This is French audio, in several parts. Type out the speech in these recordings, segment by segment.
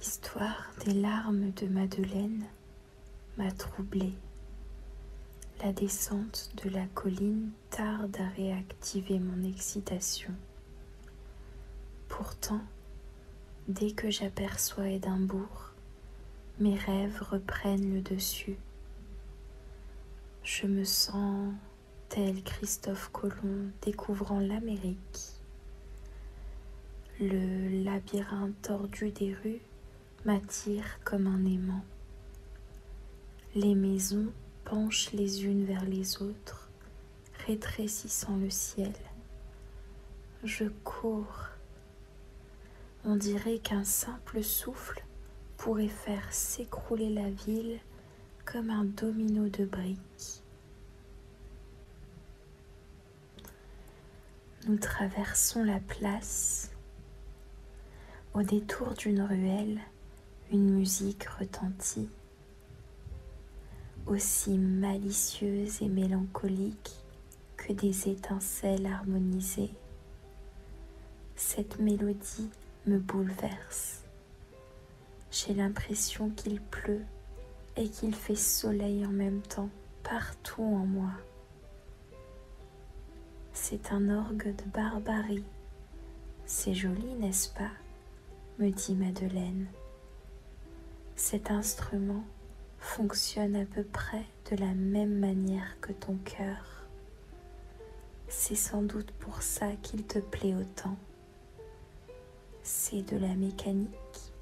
L'histoire des larmes de Madeleine m'a troublée. La descente de la colline tarde à réactiver mon excitation. Pourtant, Dès que j'aperçois Édimbourg, mes rêves reprennent le dessus. Je me sens tel Christophe Colomb découvrant l'Amérique. Le labyrinthe tordu des rues m'attire comme un aimant. Les maisons penchent les unes vers les autres rétrécissant le ciel. Je cours. On dirait qu'un simple souffle pourrait faire s'écrouler la ville comme un domino de briques. Nous traversons la place. Au détour d'une ruelle, une musique retentit aussi malicieuse et mélancolique que des étincelles harmonisées. Cette mélodie me bouleverse. J'ai l'impression qu'il pleut et qu'il fait soleil en même temps partout en moi. C'est un orgue de barbarie. C'est joli, n'est-ce pas me dit Madeleine. Cet instrument fonctionne à peu près de la même manière que ton cœur. C'est sans doute pour ça qu'il te plaît autant. C'est de la mécanique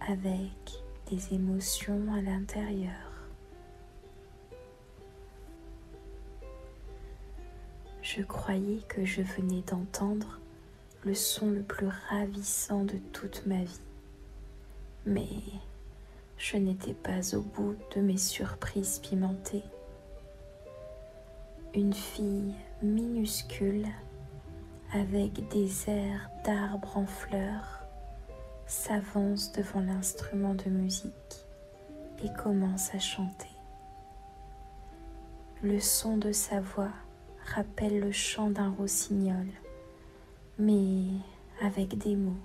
avec des émotions à l'intérieur. Je croyais que je venais d'entendre le son le plus ravissant de toute ma vie. Mais je n'étais pas au bout de mes surprises pimentées. Une fille minuscule avec des airs d'arbres en fleurs s'avance devant l'instrument de musique et commence à chanter. Le son de sa voix rappelle le chant d'un rossignol, mais avec des mots.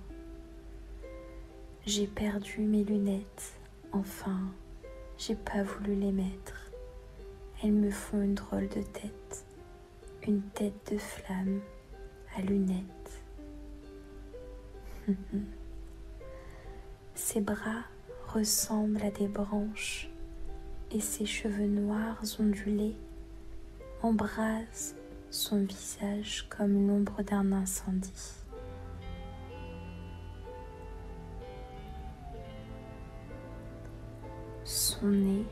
J'ai perdu mes lunettes, enfin, j'ai pas voulu les mettre. Elles me font une drôle de tête, une tête de flamme à lunettes. ses bras ressemblent à des branches et ses cheveux noirs ondulés embrasent son visage comme l'ombre d'un incendie. Son nez,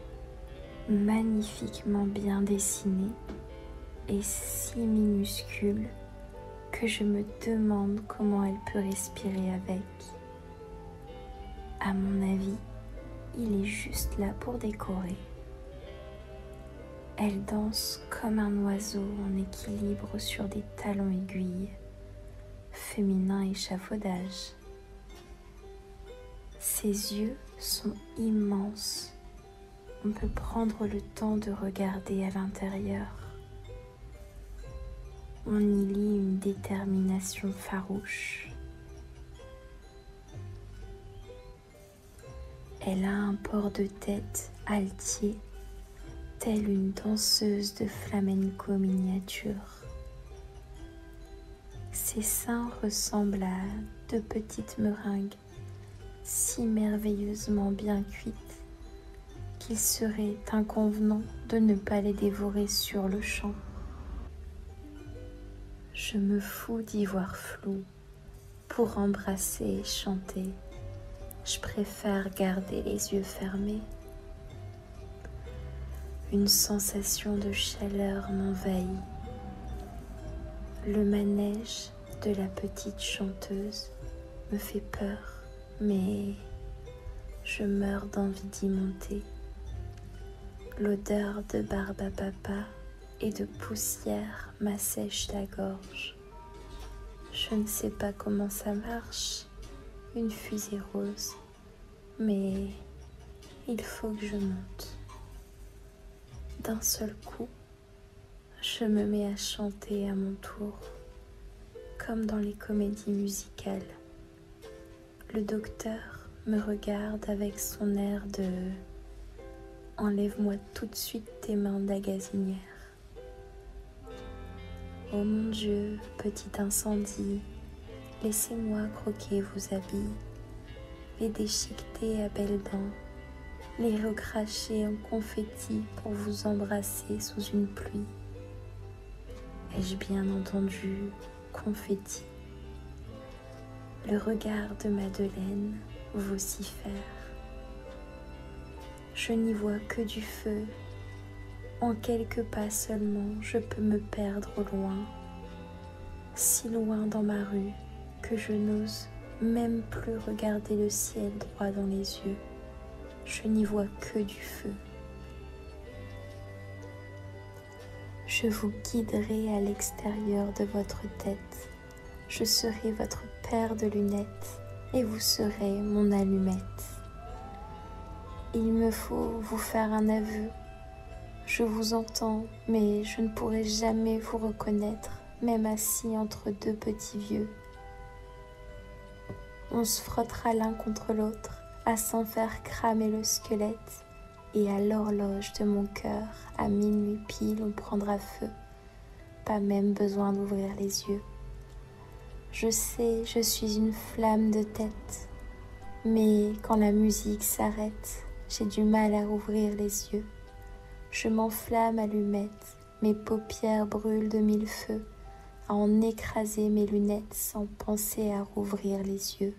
magnifiquement bien dessiné, et si minuscule que je me demande comment elle peut respirer avec. À mon avis, il est juste là pour décorer. Elle danse comme un oiseau en équilibre sur des talons aiguilles, féminin échafaudage. Ses yeux sont immenses on peut prendre le temps de regarder à l'intérieur. On y lit une détermination farouche. Elle a un port de tête altier, telle une danseuse de flamenco miniature. Ses seins ressemblent à deux petites meringues si merveilleusement bien cuites qu'il serait inconvenant de ne pas les dévorer sur le champ. Je me fous d'y voir flou pour embrasser et chanter. Je préfère garder les yeux fermés. Une sensation de chaleur m'envahit le manège de la petite chanteuse me fait peur, mais je meurs d'envie d'y monter. L'odeur de barbe à papa et de poussière m'assèche la gorge. Je ne sais pas comment ça marche, une fusée rose mais il faut que je monte. D'un seul coup, je me mets à chanter à mon tour, comme dans les comédies musicales. Le docteur me regarde avec son air de Enlève-moi tout de suite tes mains d'agasinière ». Oh mon Dieu, petit incendie, Laissez-moi croquer vos habits, les déchiqueter à belles dents, les recracher en confetti pour vous embrasser sous une pluie. Ai-je bien entendu confetti Le regard de Madeleine vocifère. Je n'y vois que du feu en quelques pas seulement, je peux me perdre loin, si loin dans ma rue que je n'ose même plus regarder le ciel droit dans les yeux. Je n'y vois que du feu. Je vous guiderai à l'extérieur de votre tête. Je serai votre paire de lunettes et vous serez mon allumette. Il me faut vous faire un aveu. Je vous entends, mais je ne pourrai jamais vous reconnaître, même assis entre deux petits vieux. On se frottera l'un contre l'autre, à s'en faire cramer le squelette, et à l'horloge de mon cœur, à minuit pile, on prendra feu. Pas même besoin d'ouvrir les yeux. Je sais, je suis une flamme de tête, mais quand la musique s'arrête, j'ai du mal à rouvrir les yeux. Je m'enflamme à l'humette, mes paupières brûlent de mille feux, à en écraser mes lunettes sans penser à rouvrir les yeux.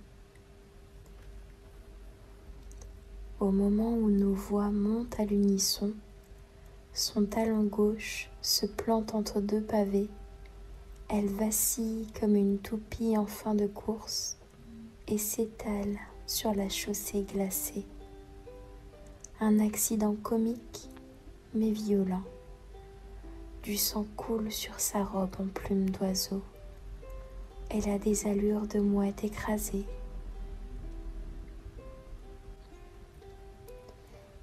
Au moment où nos voix montent à l'unisson, son talon gauche se plante entre deux pavés. Elle vacille comme une toupie en fin de course et s'étale sur la chaussée glacée. Un accident comique mais violent. Du sang coule sur sa robe en plume d'oiseau. Elle a des allures de mouette écrasée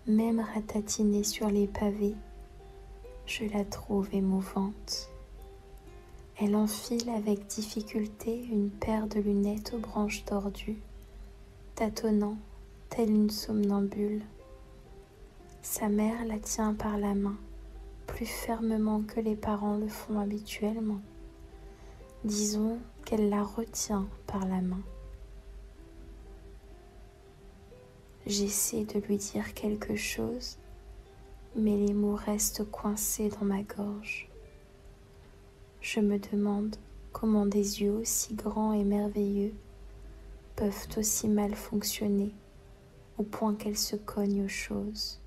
même ratatinée sur les pavés, je la trouve émouvante. Elle enfile avec difficulté une paire de lunettes aux branches tordues, tâtonnant telle une somnambule. Sa mère la tient par la main, plus fermement que les parents le font habituellement, disons qu'elle la retient par la main. J'essaie de lui dire quelque chose, mais les mots restent coincés dans ma gorge. Je me demande comment des yeux aussi grands et merveilleux peuvent aussi mal fonctionner au point qu'elles se cognent aux choses.